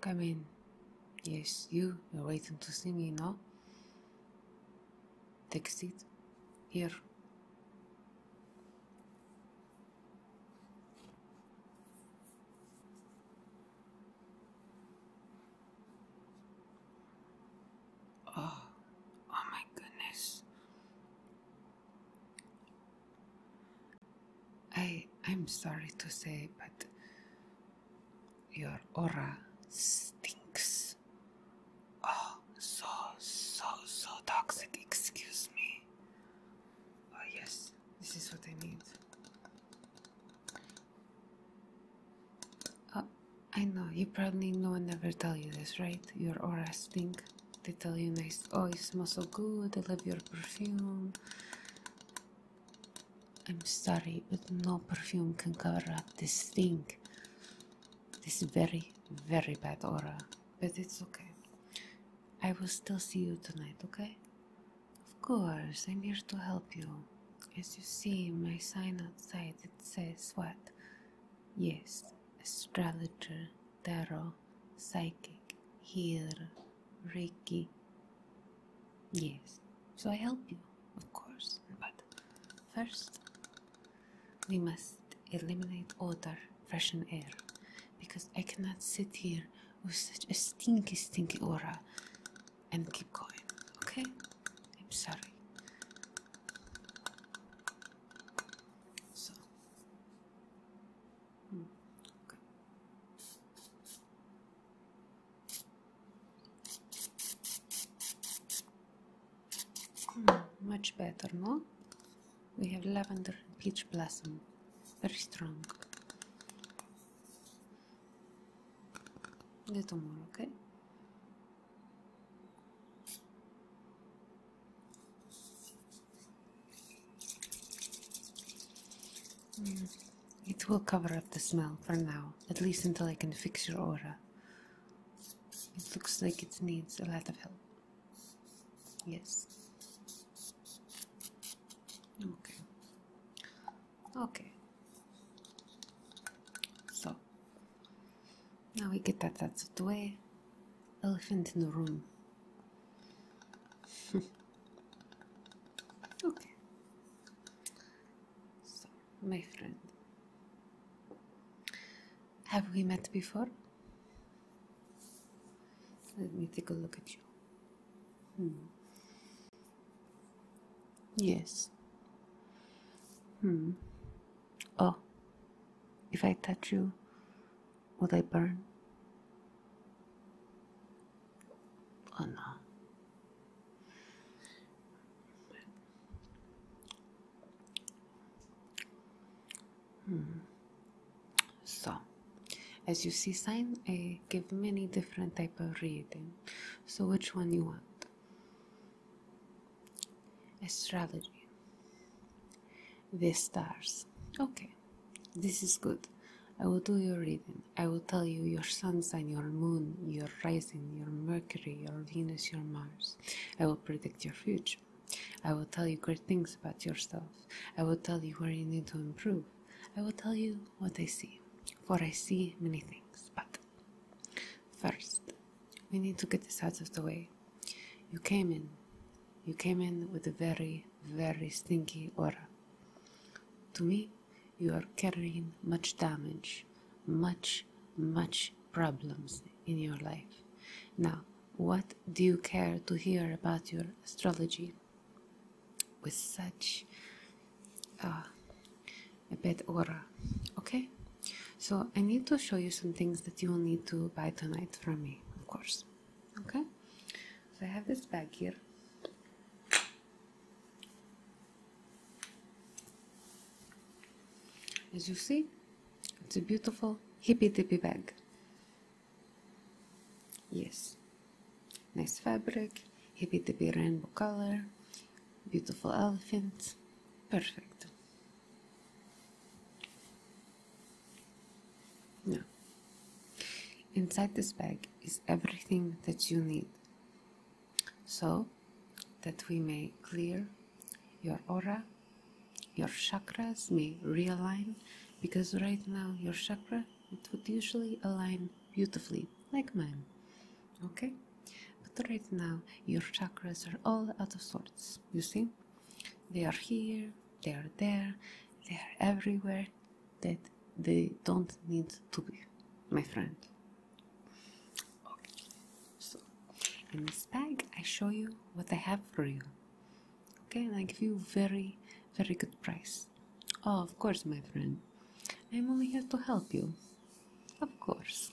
Come in. Yes, you. You're waiting to see me, no? Take a seat. Here. Oh, oh my goodness. I I'm sorry to say, but your aura stinks. Oh, so so so toxic. Excuse me. Oh yes, this is what I need. Oh, I know. You probably no one ever tell you this, right? Your aura stinks. They tell you nice. Oh, you smell so good. I love your perfume. I'm sorry, but no perfume can cover up this thing. This very, very bad aura. But it's okay. I will still see you tonight, okay? Of course, I'm here to help you. As you see, my sign outside it says what? Yes, astrologer, tarot, psychic, healer, Reiki. Yes, so I help you, of course, but first we must eliminate odor, freshen air, because I cannot sit here with such a stinky, stinky aura and keep going, okay? I'm sorry. So, Hmm, much better, no? We have lavender and peach blossom. Very strong. Little more, okay? Hmm. It will cover up the smell for now, at least until I can fix your aura. It looks like it needs a lot of help. Yes. Okay. Okay. So, now we get that out of the way. Elephant in the room. okay. So, my friend, have we met before? Let me take a look at you. Hmm. Yes. Hmm. Oh, if I touch you, Will they burn? Oh no. Hmm. So, as you see, sign I give many different type of reading. So, which one you want? Astrology. The stars. Okay. This is good. I will do your reading. I will tell you your sun sign, your moon, your rising, your Mercury, your Venus, your Mars. I will predict your future. I will tell you great things about yourself. I will tell you where you need to improve. I will tell you what I see, for I see many things. But first, we need to get this out of the way. You came in. You came in with a very very, stinky aura. To me, you are carrying much damage, much, much problems in your life. Now, what do you care to hear about your astrology? With such uh, a bad aura, okay? So, I need to show you some things that you will need to buy tonight from me, of course, okay? so I have this bag here as you see it's a beautiful hippy dippy bag yes nice fabric hippy dippy rainbow color beautiful elephant perfect no. Inside this bag is everything that you need so that we may clear your aura, your chakras may realign because right now your chakra it would usually align beautifully like mine. Okay? But right now your chakras are all out of sorts. You see? They are here, they are there, they are everywhere, that they don't need to be, my friend. Okay, so in this bag I show you what I have for you. Okay, and I give you very, very good price. Oh, of course, my friend. I'm only here to help you. Of course.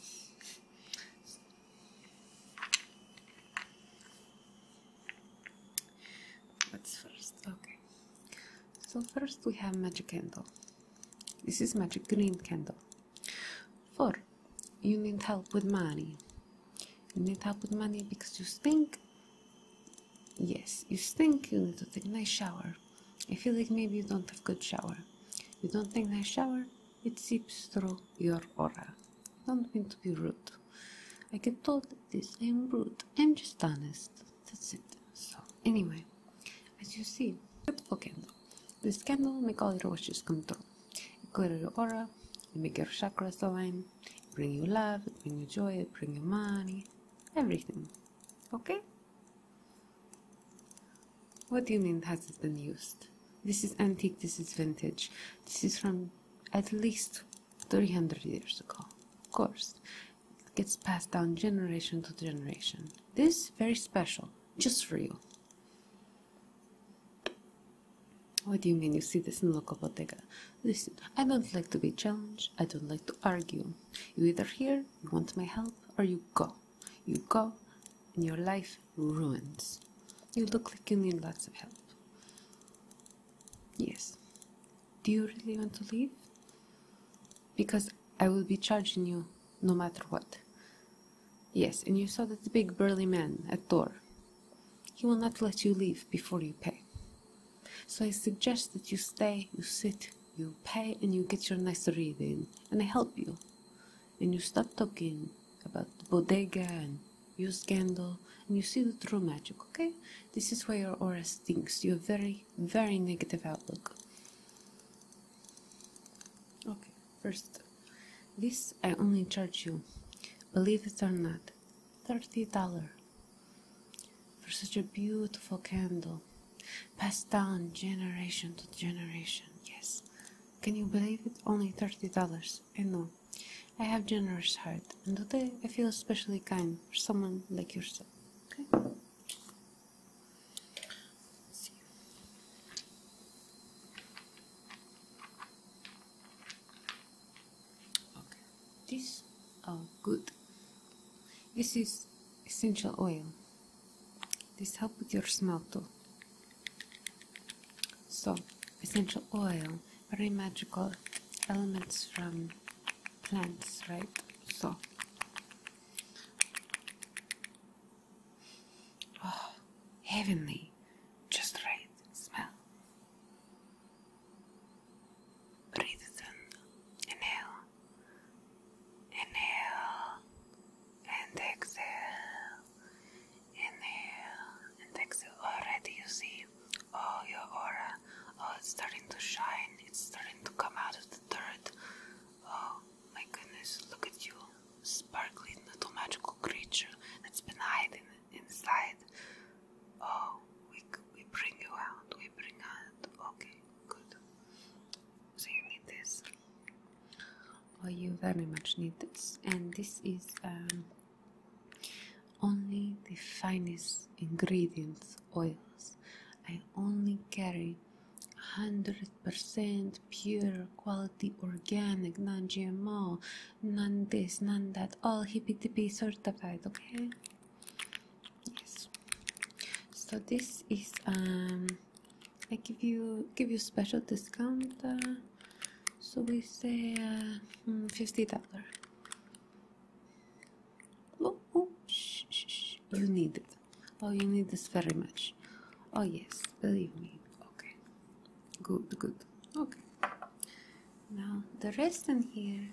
What's first? Okay. So first we have magic candle. This is magic green candle. For You need help with money. You need help with money because you stink. Yes, you stink. You need to take a nice shower. I feel like maybe you don't have good shower. You don't take nice shower. It seeps through your aura. Don't mean to be rude. I get told this. I'm rude. I'm just honest that's it so anyway as you see beautiful candle this candle may call it Rosh's control it clear your aura it make your chakras align bring you love bring you joy bring you money everything okay what do you mean has it been used this is antique this is vintage this is from at least 300 years ago of course gets passed down generation to generation. This is very special, just for you. What do you mean you see this in local bodega? Listen, I don't like to be challenged, I don't like to argue. You either here, you want my help, or you go. You go, and your life ruins. You look like you need lots of help. Yes, do you really want to leave? Because I will be charging you no matter what. Yes, and you saw that big burly man at door. He will not let you leave before you pay. So I suggest that you stay, you sit, you pay, and you get your nice reading, and I help you. And you stop talking about bodega and your scandal, and you see the true magic, okay? This is why your aura stinks. You're very very, negative outlook. Okay, first, this I only charge you, believe it or not, $30 for such a beautiful candle passed down generation to generation. Yes, can you believe it? Only $30. I know. I have generous heart, and today I feel especially kind for someone like yourself. Okay. Okay. This oh good. This is essential oil. This help with your smell too. So essential oil, very magical elements from plants right so oh, heavenly just right smell breathe in inhale inhale and exhale inhale and exhale already you see oh, your aura, oh, it's starting to shine, it's starting to come out of the dirt. Oh my goodness, look at you, sparkling little magical creature that's been hiding inside. Oh, we, we bring you out, we bring out, okay, good. So you need this. Oh, you very much need this, and this is um, only the finest ingredients oils. I only carry 100% pure quality organic, non GMO, none this, none that, all hippy dippy certified, okay? Yes. So this is um I give you give you special discount uh, so we say uh, hmm, fifty dollar Oh, oh, shh, shh, shh. You need it. Oh, you need this very much. Oh, yes, believe me. Okay. Good, good. Okay. Now, the rest in here.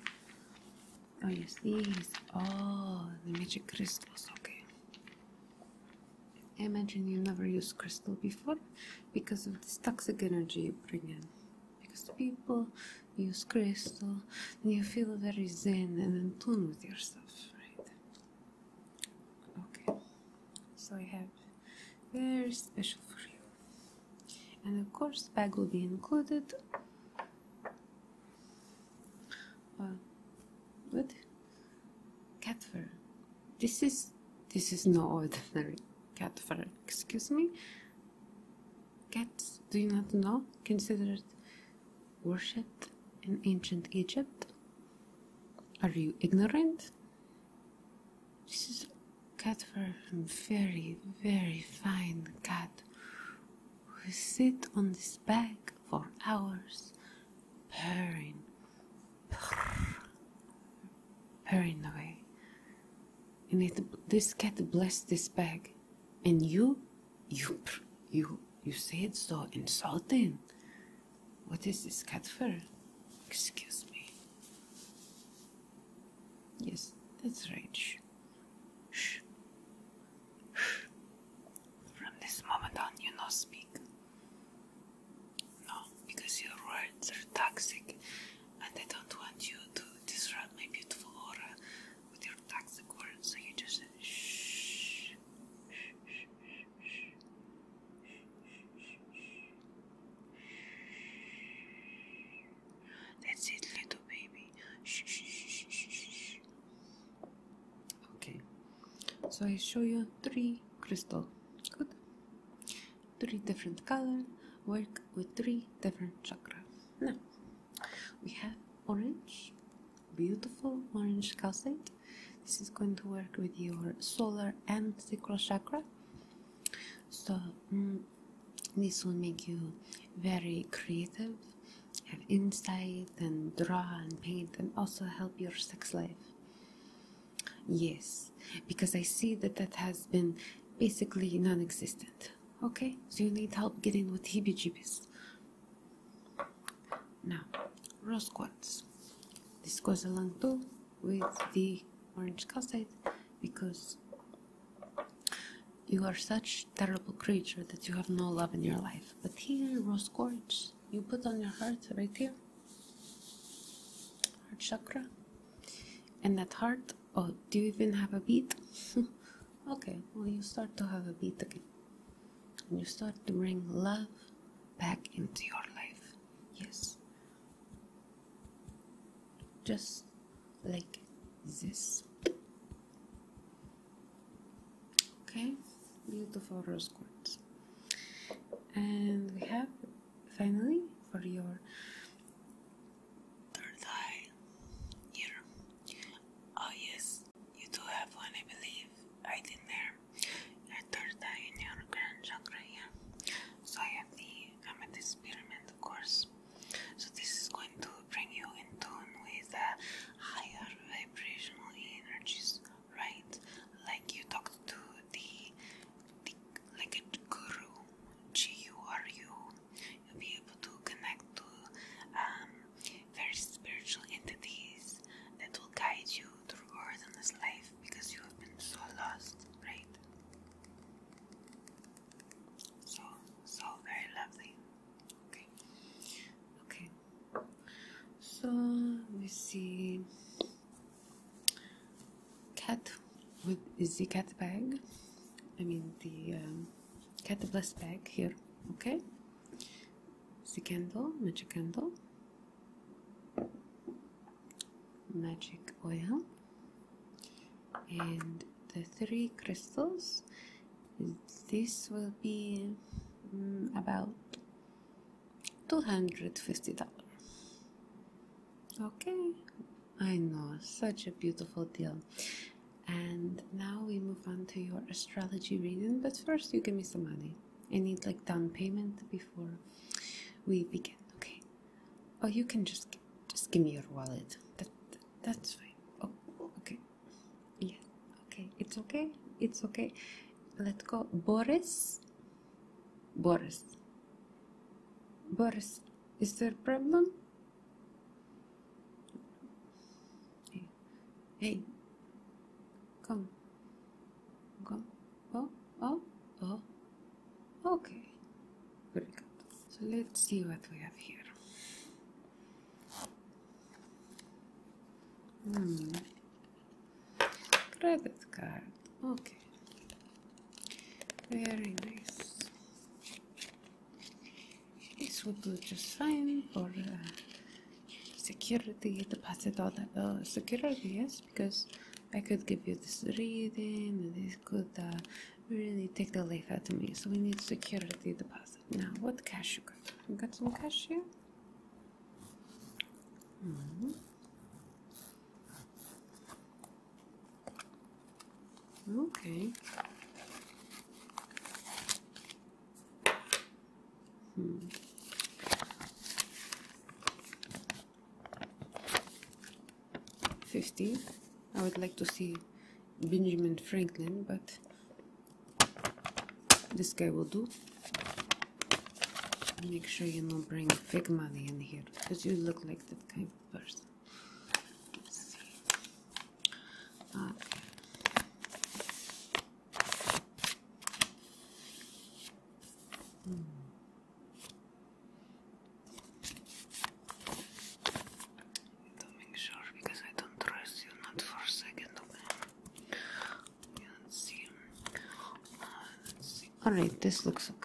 Oh, yes, these. Oh, the magic crystals. Okay. I imagine you never used crystal before because of this toxic energy you bring in. Because people use crystal, and you feel very zen and in tune with yourself, right? Okay, so I have very special for you, and of course, bag will be included. Uh, what? Cat fur. This is this is not no ordinary cat fur. Excuse me. Cats, do you not know, considered worshipped in ancient Egypt? Are you ignorant? This is a cat for a very, very fine cat who sit on this bag for hours, purring, purring away. And it, this cat blessed this bag, and you you, you, you say it so insulting. What is this Katfer? Excuse me. Yes, that's right. Shh. Shh. From this moment on, you no speak. No, because your words are toxic, and I don't want you to disrupt my beautiful aura with your tax so you just said shh, shh, shh, shh, shh, shh. That's it, little baby. Shh, shh, shh, shh, shh. Okay, so I show you three crystal. Good. Three different color. Work with three different chakra. Now we have orange beautiful orange calcite this is going to work with your solar and sacral chakra so mm, this will make you very creative have insight and draw and paint and also help your sex life yes because i see that that has been basically non-existent okay so you need help getting with heebie jeebies now, rose quartz. This goes along too with the orange calcite because you are such terrible creature that you have no love in your life. But here, rose quartz, you put on your heart right here, heart chakra, and that heart. Oh, do you even have a beat? okay, well you start to have a beat again and you start to bring love back into your life. Yes. Just like this. Okay, beautiful rose quartz. And we have finally for your third eye here. Oh, yes, you do have one, I believe. I did there. I thought that in your grand chakra, yeah. So I have the amethyst pyramid, of course. So this is going to bring you in tune with the higher vibrational energies, right? Like you talk to the, the like a guru, G U R U. You'll be able to connect to um, very spiritual entities that will guide you through earth and this life because you have been so lost, right? So, so very lovely. Okay, okay. So we see cat with is the cat bag. I mean the um, cat the blessed bag here. Okay. Candle, magic candle, magic oil, and the three crystals. This will be mm, about two hundred fifty dollars. Okay, I know such a beautiful deal. And now we move on to your astrology reading, but first you give me some money. I need like down payment before we begin, okay? Oh, you can just just give me your wallet. That, that that's fine. Oh, okay. Yeah. Okay. It's okay. It's okay. Let's go. Boris. Boris. Boris, is there a problem? Hey, come, come. Oh, oh, oh. Okay, very good. So let's see what we have here. Hmm. Credit card. Okay. Very nice. This would do just fine for uh, security deposit, all uh, security, yes, because I could give you this reading, and this could uh, really take the life out of me. So we need security deposit. Now, what cash you got? You got some cash here? Mm-hmm. Okay. Hmm. Fifty. I would like to see Benjamin Franklin, but this guy will do. Make sure you don't bring fake money in here, because you look like that kind of person. To make sure, because I don't trust you, not for a second, okay? let's see. Alright, this looks okay.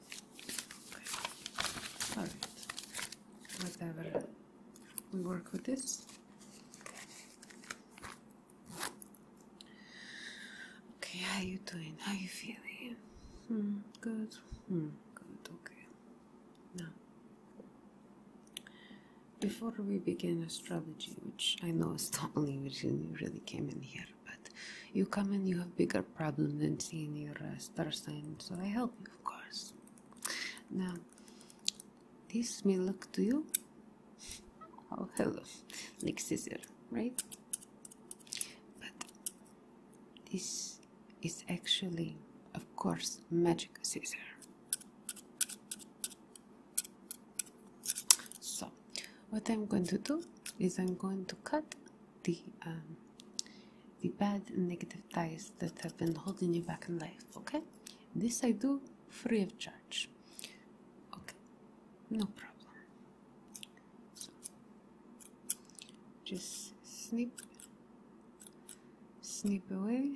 All right. Whatever. Uh, we work with this. Okay, how you doing? How you feeling? Hmm, good. Hmm, good. Okay. Now, before we begin astrology, which I know is the only reason you really came in here, but you come and you have bigger problem than seeing your uh, star sign, so I help you of course. Now, this may look to you. Oh, hello, like scissor, right? But this is actually, of course, magic scissor. So, what I'm going to do is I'm going to cut the um, the bad negative ties that have been holding you back in life. Okay, this I do free of charge. Okay, no problem. Just snip, snip away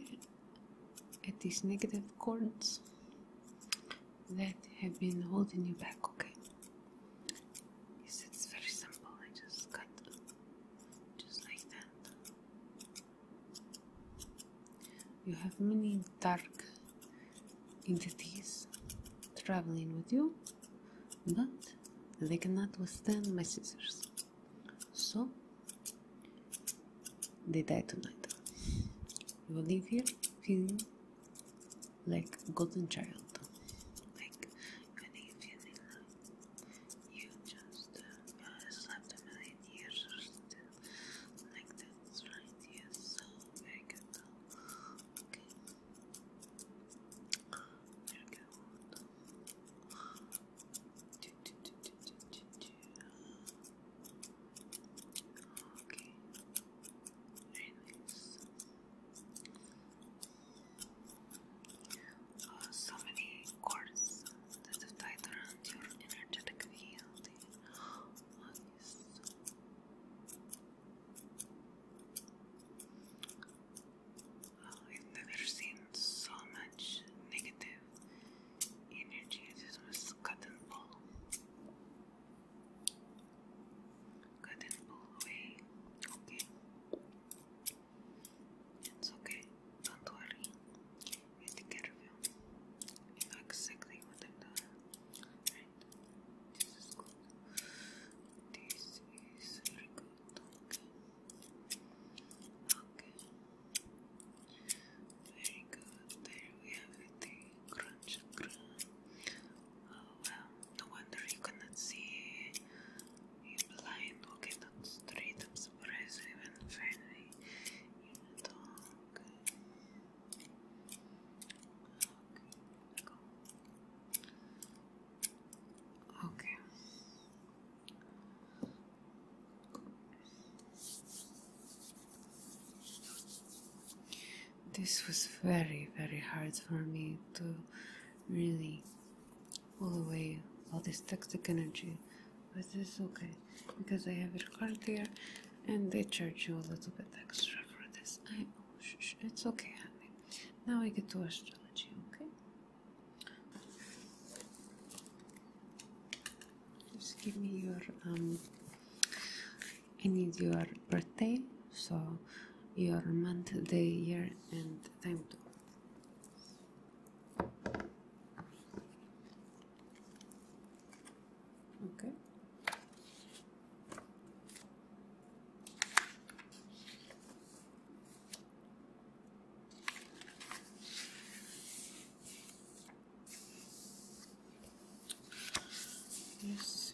at these negative cords that have been holding you back. Okay. Yes, it's very simple. I just cut just like that. You have many dark entities traveling with you, but they cannot withstand my scissors. So they die tonight. You will leave here feeling like a golden child, you just slept a million years like that's right? Yes, so very good Okay. Very good. Do, Okay. Very uh, so many chords that have tied around your energetic field. Uh, I've never seen so much negative energy. was cut and pull. Cut and pull away. Okay. It's okay, don't worry. I take exactly what I'm doing. This is good. This is very good. Okay. Very good. There we have it. The Oh well, no wonder you cannot see in blind walking on the street, I'm surprised I Okay. okay. This was very, very hard for me to really all the way, all this toxic energy but it's okay because I have your card here, and they charge you a little bit extra for this oh, it's okay honey now I get to astrology okay just give me your um I need your birthday so your month day year and time too okay yes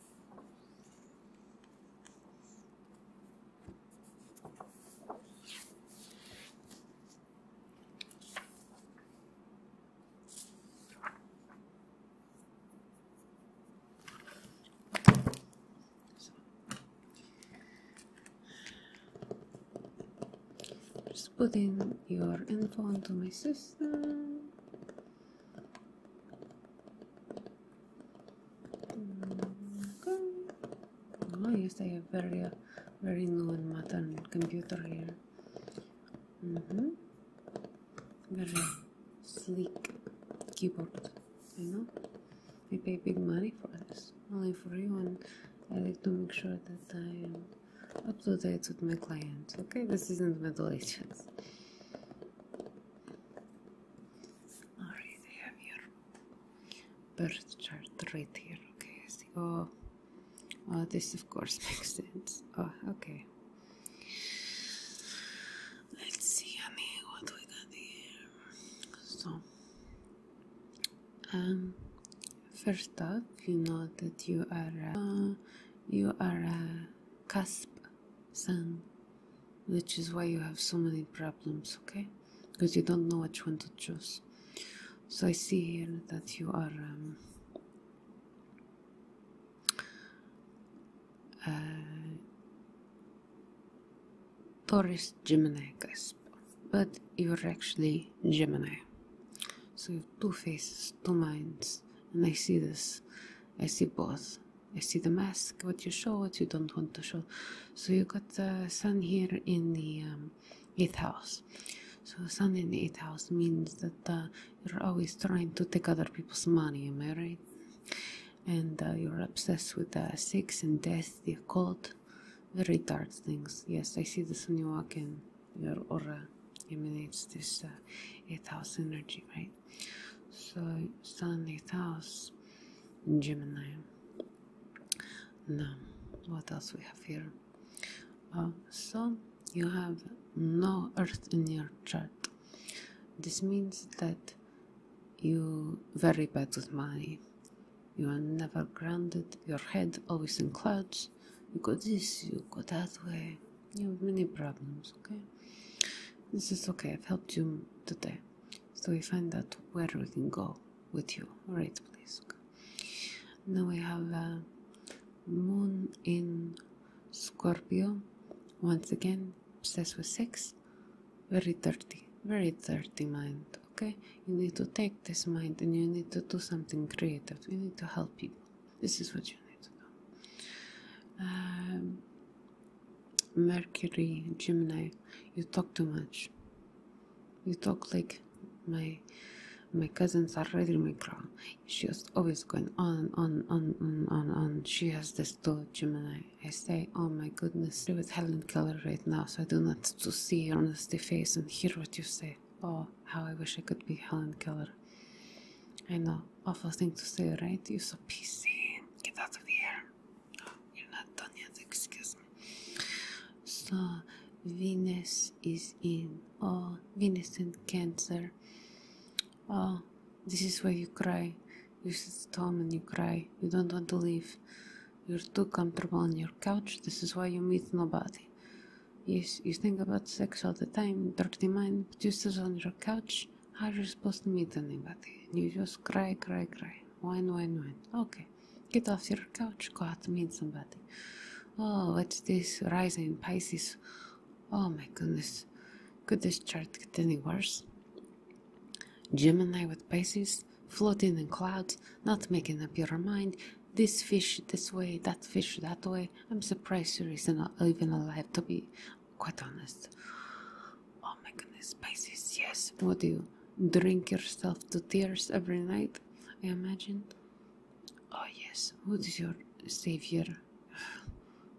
Just putting your info into my system. Mm, okay. Oh yes, I have very, uh, very new and modern computer here. Mm -hmm. Very sleek keyboard. You know. I pay big money for this. Only for you, and I like to make sure that I am up to date with my clients. Okay, this isn't my Ages. Alright, have your birth chart right here. Okay, Oh, oh, this of course makes sense. Oh, okay. Let's see, honey, what we got here. So, um, first up, you know that you are, you are a cusp sun, which is why you have so many problems, okay? Because you don't know which one to choose. So I see here that you are um, uh, Taurus Gemini but you're actually Gemini. So you have two faces, two minds, and I see this. I see both. I see the mask, what you show, what you don't want to show. So you got the sun here in the um, eighth house. So sun in the eighth house means that uh, you're always trying to take other people's money. Am I right? And uh, you're obsessed with sex and death, the occult, very dark things. Yes, I see this when you walk in. Your aura emanates this uh, eighth house energy, right? So Stanley House in Gemini. Now, what else we have here? Uh, so you have no Earth in your chart. This means that you very bad with money. You are never grounded. Your head always in clouds. You go this, you go that way. You have many problems, okay? This is okay, I've helped you today. So we find out where we can go with you. Alright, please. Now we have a uh, Moon in Scorpio. Once again, obsessed with sex. Very dirty, very dirty mind. Okay, you need to take this mind and you need to do something creative. We need to help people. This is what you need to know. Um, Mercury, Gemini, you talk too much. You talk like my my cousins are reading my crown. She's always going on on on on on She has this too, Gemini. I say, oh my goodness, she with Helen Keller right now, so I do not to see your honesty face and hear what you say. Oh, how I wish I could be Helen Keller. I know awful thing to say, right? You're so PC. Get out of here. you're not done yet, excuse me. So, Venus is in. Oh, Venus and Cancer. Oh, this is why you cry. You sit at home and you cry. You don't want to leave. You're too comfortable on your couch. This is why you meet nobody. Yes, you think about sex all the time, dirty mind, but you sit on your couch how are you supposed to meet anybody? You just cry, cry, cry. Whine, whine, whine. Okay. Get off your couch, go out to meet somebody. Oh, what's this? Rising Pisces. Oh my goodness. Could this chart get any worse? Gemini with Pisces, floating in clouds, not making up your mind. This fish this way, that fish that way. I'm surprised you're even alive to be quite honest. Oh my goodness, Pisces, yes. Would you drink yourself to tears every night? I imagine. Oh yes, what is your savior?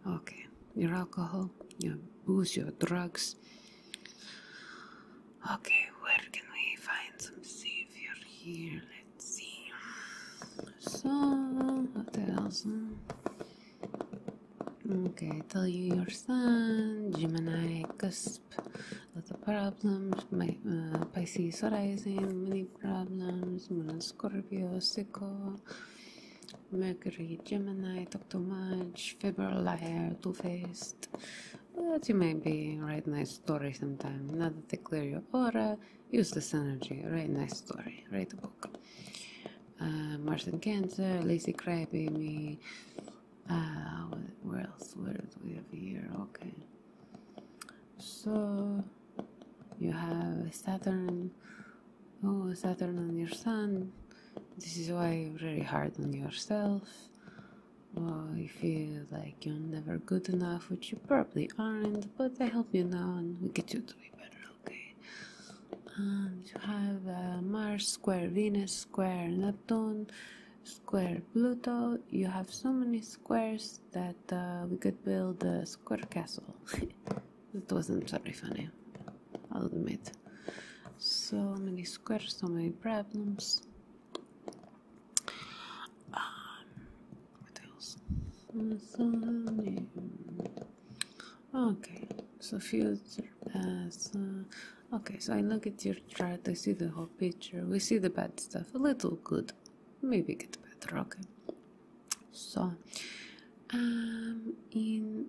Okay, your alcohol, your booze, your drugs. Okay, where can we find some savior here? Let's see. So, what Okay, tell you your sun, Gemini, cusp, lots of problems, my, uh, Pisces rising, many problems, Moon Scorpio, Sicko, Mercury, Gemini, talk too much, February liar, two faced. But you may be write nice story sometime. Now that clear your aura, use this energy, write nice story, write a book. Martin Uh, Martian Lazy Crabby, me. Uh, where else? Where do we have here? Okay. So you have Saturn. Oh, Saturn and your Sun. This is why you're very hard on yourself. Well, you feel like you're never good enough, which you probably aren't, but I help you now and we get you to be better okay um, you have uh, Mars square Venus square Neptune square Pluto you have so many squares that uh, we could build a square castle it wasn't very funny I'll admit so many squares so many problems um, what else okay so future uh, past okay so i look at your chart i see the whole picture we see the bad stuff a little good maybe get better okay so um in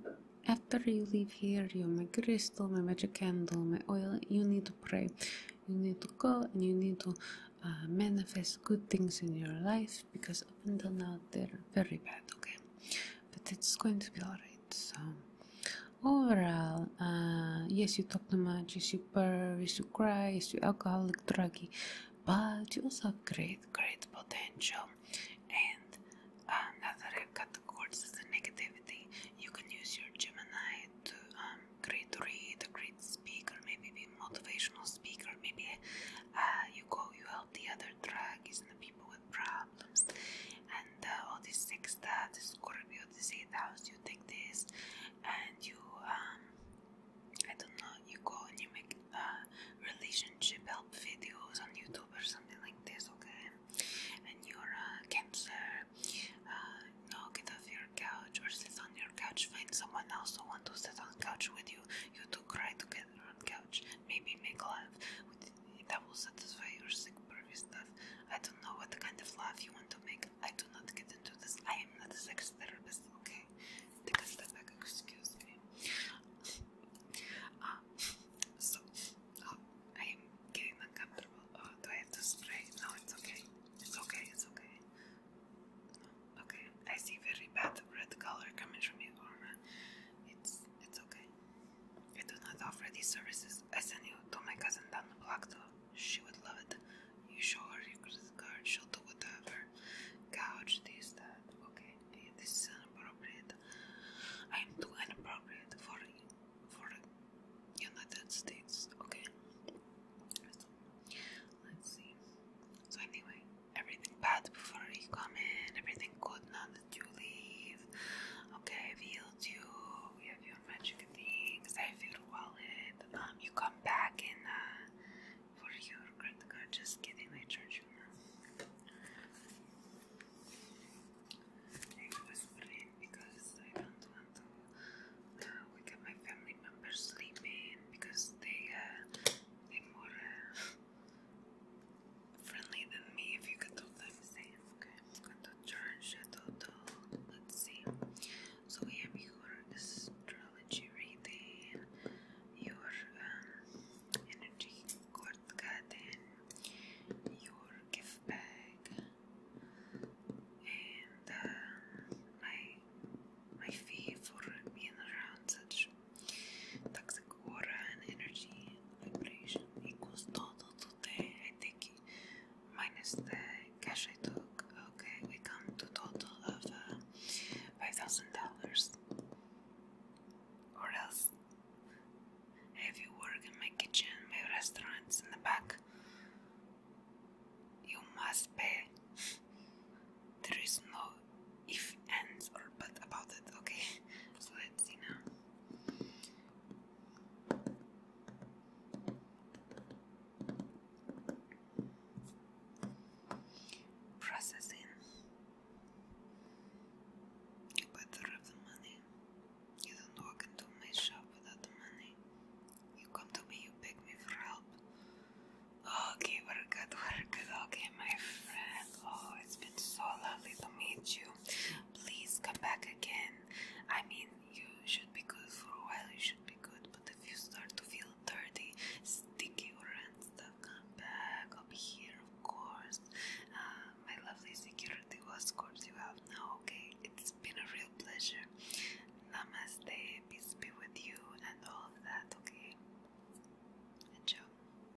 after you leave here you my crystal my magic candle my oil you need to pray you need to go and you need to uh, manifest good things in your life because up until now they're very bad okay but it's going to be alright. So overall, uh, yes, you talk too much, you are yes, you cry, You're alcoholic, druggy, but you also have great, great potential. And another category is the negativity. You can use your Gemini to um, great read, a great speaker, maybe be motivational speaker, maybe uh, you go, you the other drug is in the people with problems. And uh, all these things that the Scorpio, this eighth house, you take this and you, um, I don't know, you go and you make uh, relationship help videos on YouTube or something like this, okay? And you're a uh, Cancer, no, get off your couch or sit on your couch, find someone else who wants to sit on couch with you. You two cry together on couch maybe make love. that will satisfy your sick pervy stuff. I don't know what kind of love you want to make. I do not get into this. I am not a sex therapist, okay? Take a back, excuse me. Uh, so, uh, I am getting uncomfortable. Oh, do I have to spray? No, it's okay. It's okay, it's okay. okay, I see very bad red color coming from your aura. It's it's okay. We do not offer these services. I send you to my cousin down the block though. She would love it. You show her your credit card, she'll do whatever. Couch, this, that. Okay, this is inappropriate. I am too inappropriate for for United States. Okay. let's see. So anyway, everything bad before you come in, everything good now that you leave. Okay, I've healed you, we have your magic things, I have your wallet. Um, you come back and uh, for your credit card, just kidding, I charge you I whisper in because I don't want to uh, wake up my family members sleeping because they, uh, they more. Uh, friendly than me, if you can tell them okay? I'm charge Let's see. So we have your astrology reading, your um, energy court garden, your gift bag, and uh, my my fee for being around such Toxic aura and energy vibration equals total today. I think minus the cash I took. Okay, we come to total of uh, five thousand dollars. Or else, if you work in my kitchen, my restaurants in the back, you must pay. There is no if ends or but about it. Okay, so let's see now. Processing. You better have the money. You don't walk into my shop without the money. You come to me, you beg me for help. Okay, very good, very good. Okay, my friend. Oh, it's been so lovely to meet you. Please come back again. I mean, you should be good for a while, you should be good, but if you start to feel dirty, sticky, or and stuff, come back. I'll be here, of course. Uh, my lovely security escorts you out now, okay? It's been a real pleasure. Namaste, peace be with you, and all that, okay? Enjoy.